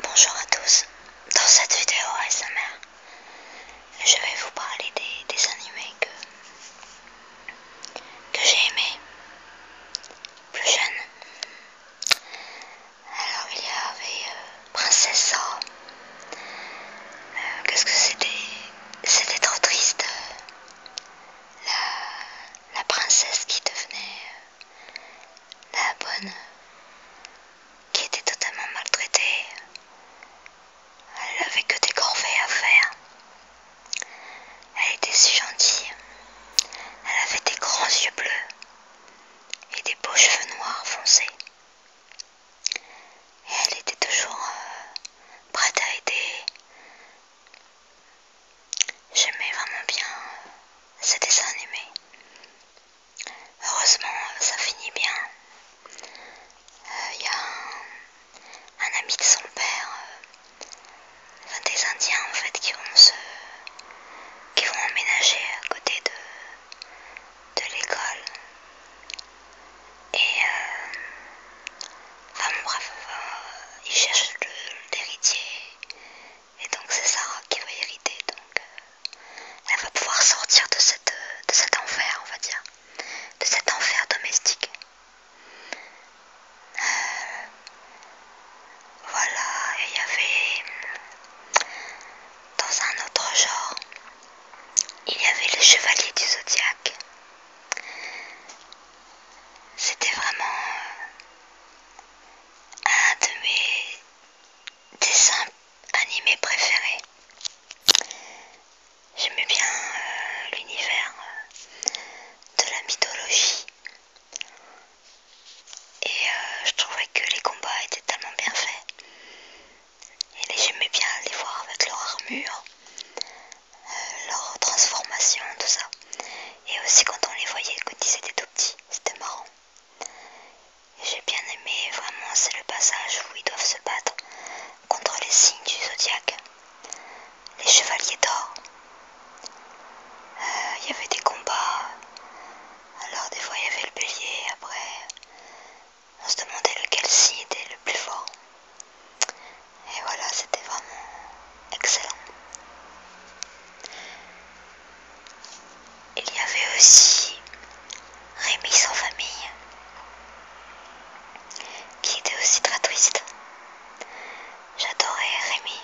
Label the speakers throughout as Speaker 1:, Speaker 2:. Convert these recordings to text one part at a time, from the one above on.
Speaker 1: Bonjour à tous, dans cette vidéo ASMR, je vais vous parler des, animés que, que j'ai aimés plus jeune. Alors il y avait euh, Princesse. Euh, qu'est-ce que c'était C'était trop triste. Euh, la princesse qui devenait euh, la bonne, qui était totalement maltraitée. Elle n'avait que des corvées à faire. Elle était si gentille. Elle avait des grands yeux bleus et des beaux cheveux noirs foncés. Et elle était toujours euh, prête à aider, J'aimais vraiment bien euh, ces dessins animés. Heureusement, ça finit bien. Il euh, y a un, ami de son père, euh, enfin des Indiens en fait, qui vont se, qui vont emménager à côté de, de l'école. Et Enfin bref, euh, il cherche l'héritier et donc c'est Sarah qui va hériter. Donc euh, elle va pouvoir sortir de, cette, euh, de cet enfer, on va dire, de cet enfer domestique. voilà, et il y avait hmm, dans un autre genre, il y avait les chevaliers du zodiaque. C'était vraiment euh, un de mes dessins animés préférés. J'aimais bien euh, l'univers euh, de la mythologie et je trouvais que les combats étaient tellement bien faits. Et j'aimais bien les voir avec leur armure, leur transformation, tout ça. Et aussi quand on les voyait quand ils étaient tout petits, c'était marrant. J'ai bien aimé vraiment, c'est le passage où ils doivent se battre contre les signes du zodiaque, les chevaliers d'or. Euh, il y avait des combats, alors des fois il y avait le bélier, après on se demandait lequel signe était le plus fort. Et voilà, c'était vraiment excellent. Il y avait aussi Rémi sans famille, qui était aussi très triste. J'adorais Rémi,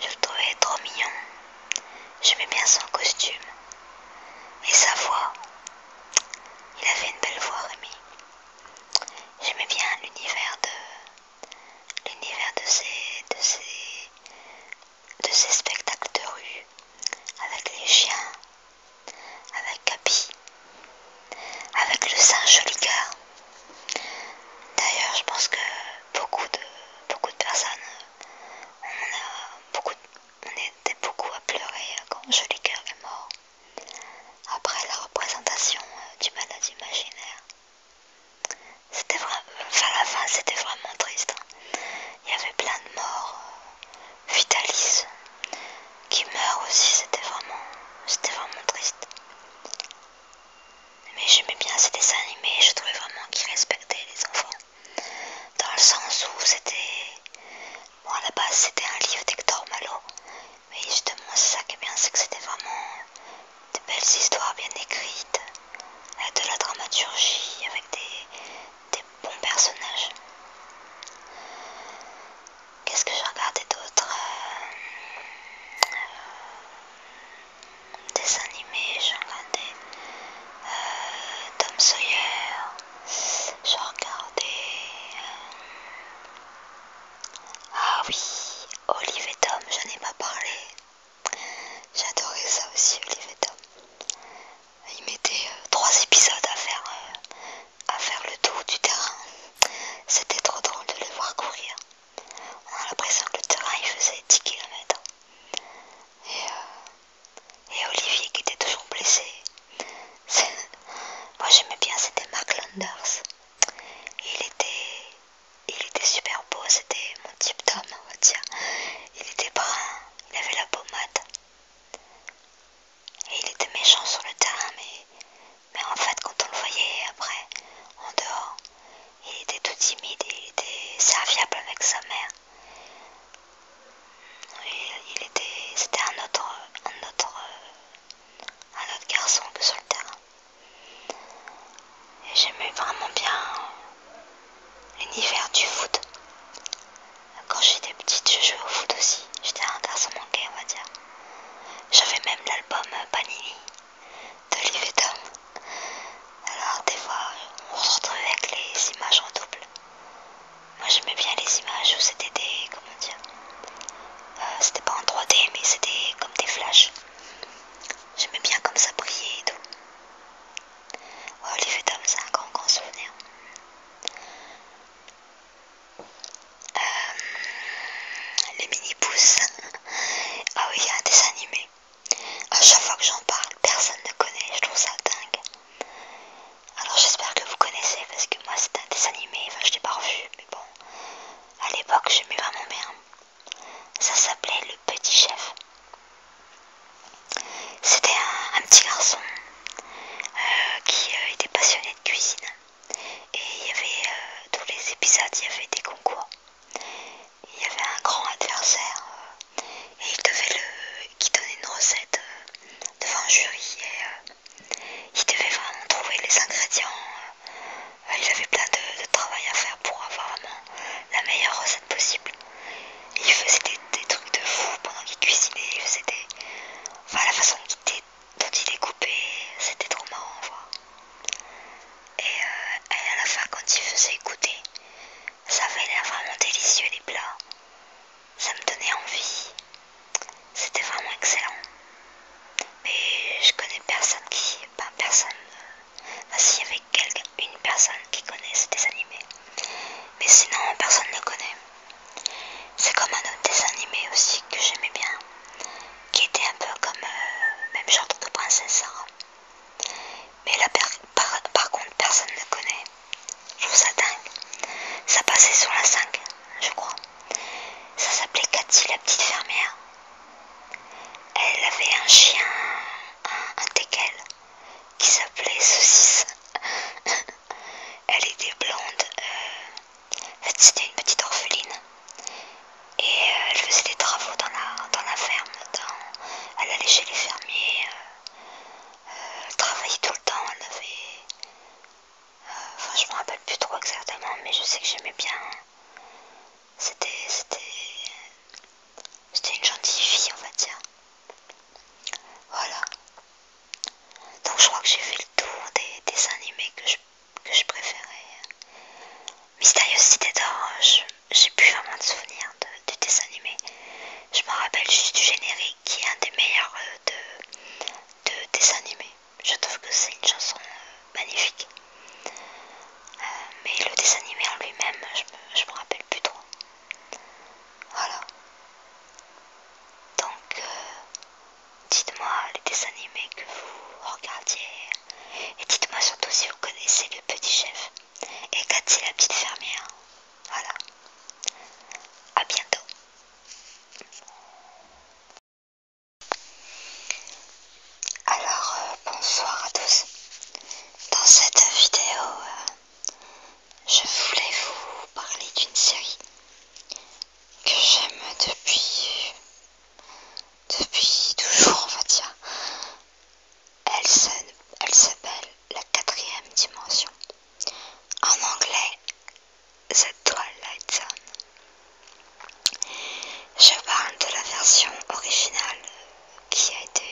Speaker 1: je le trouvais trop mignon, j'aimais bien son costume et sa voix. Il avait une belle voix, Rémi. J'aimais bien l'univers de l'univers de ces, de, ces, de ces spectacles de rue avec les chiens, avec Capi, avec le Saint Jolicoeur. D'ailleurs, je pense que beaucoup de, beaucoup de personnes, on, a beaucoup, était beaucoup à pleurer quand Jolicoeur est mort après la représentation euh, du malade imaginaire. C'était vraiment, la fin c'était vraiment triste. Hein. Il y avait plein de morts, euh, Vitalis qui meurt aussi, c'était vraiment, c'était vraiment triste. Mais j'aimais bien ces dessins animés, je trouvais vraiment qu'ils respectaient les enfants. Dans le sens où c'était, bon à la base c'était un livre d'Hector Malo mais justement, c'est ça qui est bien, c'est que c'était vraiment euh, des belles histoires bien écrites, euh, de la dramaturgie, avec des, bons personnages. Qu'est-ce que j'ai regardé d'autre euh, Des animés, j'ai regardé Tom Sawyer, j'ai regardé ah oui, Olivier et Tom, j'en ai pas parlé. J'adorais ça aussi, Olivier et Tom. Ils mettaient euh, trois épisodes à faire, euh, à faire le tour du terrain. C'était trop drôle de les voir courir. On a l'impression que le terrain il faisait 10 km. Et, euh, et Olivier qui était toujours blessé, moi j'aimais bien, c'était Mark Landers. Il était, il était super beau, c'était mon type d'homme, on va dire. Il était brun, il avait la pommade. Et il était méchant sur le terrain, mais, mais en fait quand on le voyait après, en dehors, il était tout timide, il était serviable avec sa mère. il était, c'était un autre, un autre un autre garçon que sur le terrain. Et j'aimais vraiment bien l'univers du foot. Quand j'étais petite, je jouais au foot aussi. J'étais un garçon manqué, on va dire. J'avais même l'album Panini de Liveton Alors, des fois, on se retrouve avec les images en double. Moi j'aimais bien les images où c'était des. comment dire euh, C'était pas en 3D mais c'était comme des flashs. J'aimais bien comme ça brillait et tout. Oh, les fêtes c'est un grand grand souvenir. Euh, les mini-pouces. ah oui, il y a un dessin animé. À chaque fois que j'en parle, personne ne connaît, je trouve ça dingue. Alors j'espère que vous connaissez parce que moi c'est un dessin animé, enfin je l'ai pas revu, mais bon, à l'époque j'aimais vraiment bien. Ça s'appelait Le Petit Chef. C'était un, petit garçon euh, qui euh, était passionné de cuisine. Et il y avait euh, tous les épisodes, il y avait des concours. Il y avait un grand adversaire et il devait le qui donnait une recette devant un jury et il devait vraiment trouver les ingrédients. Euh, il avait plein de, travail à faire pour avoir vraiment la meilleure recette possible. il faisait des, trucs de fou pendant qu'il cuisinait, il faisait des... Enfin, la façon dont il découpait, c'était trop marrant à voir. Et, euh, et à la fin, quand il faisait goûter, ça avait l'air vraiment délicieux les plats ça me donnait envie. C'était vraiment excellent. Mais je connais personne qui. Pas personne. Si euh, s'il y avait une personne qui connaissait des animés. Mais sinon, personne ne connaît. C'est comme un autre dessin animé aussi que j'aimais bien. Qui était un peu comme. Euh, même genre de princesse Sarah. Mais là, par, contre, personne ne connaît. Je trouve ça dingue. Ça passait sur la 5, je crois. Ça s'appelait Cathy, la petite fermière. Elle avait un chien, un, qui s'appelait Saucisse. Elle était blonde. Euh, en fait, c'était une petite orpheline. Et euh, elle faisait des travaux dans la, dans la ferme. elle allait chez les fermiers. Euh, elle travaillait tout le temps. Elle avait Enfin, je me rappelle plus trop exactement, mais je sais que j'aimais bien. C'était c'était, une gentille fille, on va dire. Voilà. Donc je crois que j'ai fait le tour des dessins animés que je, préférais. Mystérieuse Cité d'Or, j'ai plus vraiment de souvenirs de, dessin animé, animés. Je me rappelle juste du générique qui est un des meilleurs euh, de, de dessin animé. Je trouve que c'est une chanson euh, magnifique. Euh, mais le dessin animé en lui-même, je me rappelle plus trop. Voilà. Donc, euh, dites-moi les dessins animés que vous regardiez. Et dites-moi surtout si vous connaissez le petit chef. Et Cathy la petite fermière. Voilà. A bientôt. Alors euh, bonsoir à tous. Dans cette vidéo, euh, je voulais vous parler d'une série que j'aime depuis depuis toujours, on va dire. Elle s'appelle La quatrième dimension. En anglais, cette Twilight Zone. Je parle de la version originale qui a été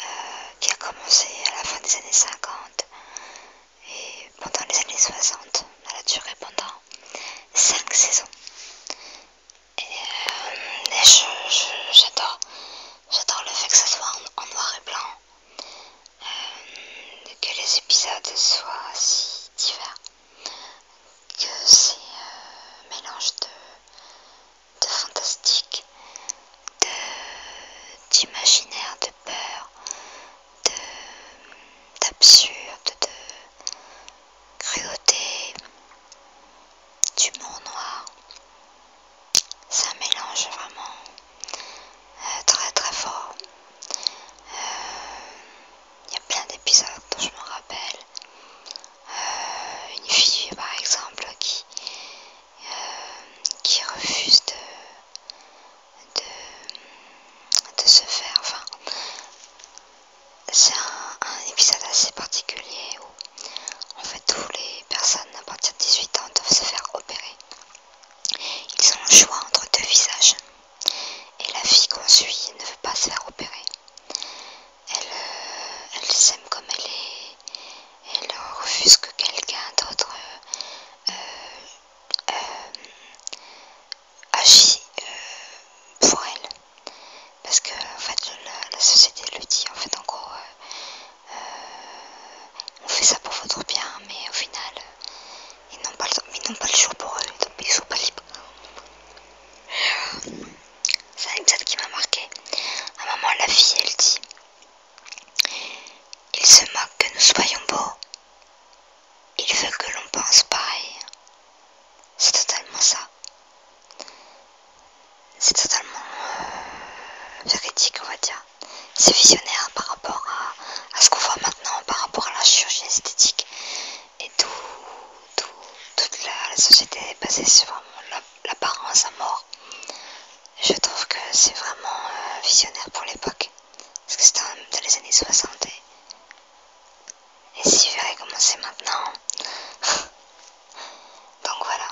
Speaker 1: euh, qui a commencé à la fin des années 50 et pendant les années 60, elle a duré pendant 5 saisons. Et, euh, j'adore, le fait que ça soit en noir et blanc euh, que les épisodes soient si divers, que c'est euh, un mélange de, fantastique, d'imaginaire, de, peur, d'absurde, de, de cruauté, d'humour noir. C'est un mélange vraiment euh, très très fort. Il euh, y a plein d'épisodes dont je me rappelle. Euh, une fille par exemple qui, qui refuse de, se faire. Enfin, c'est un, un épisode assez particulier où en fait tous les personnes à partir de 18 ans doivent se faire opérer. Ils ont le choix entre deux visages. Et la fille qu'on suit ne veut pas se faire opérer. Elle, euh, s'aime comme elle est. Elle refuse que quelqu'un d'autre euh, euh, agisse pour elle. Parce que en fait, la, société le dit. En fait, en gros, euh, on fait ça pour votre bien, mais au final, ils n'ont pas, le jour pour eux, ils sont pas libres. C'est un épisode qui m'a marqué. À un moment, la fille, elle dit Il se moque que nous soyons beaux. Il veut que l'on pense pareil. C'est totalement ça. C'est totalement euh, véridique, on va dire c'est visionnaire par rapport à, ce qu'on voit maintenant, par rapport à la chirurgie esthétique et tout, toute la, société est basée sur l'apparence à mort. Je trouve que c'est vraiment euh, visionnaire pour l'époque, parce que c'était dans les années 60 et, si vous voyez comment c'est maintenant. Donc voilà.